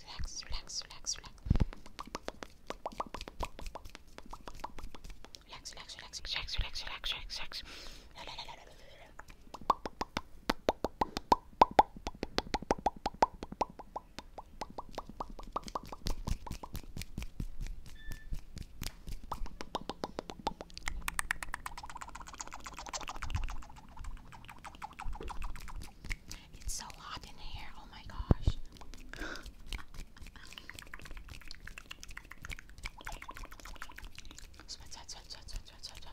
relax, relax, relax, relax, relax. Relax, relax, relax, relax, relax, relax, relax, relax. La, la, la, la, la, la, la. It's so hot in here. Oh my gosh. Sweat, sweat, sweat, sweat, sweat, sweat, sweat, sweat.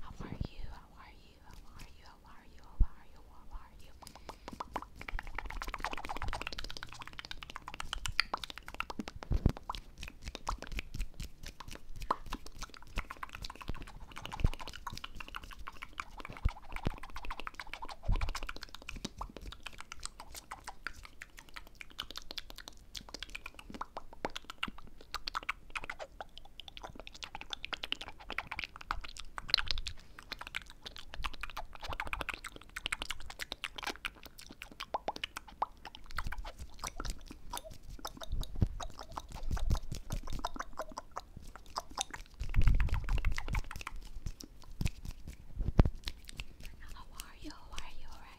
how are you? How are you? How are you? How are you? How are you? How are you? How are you? How are you? How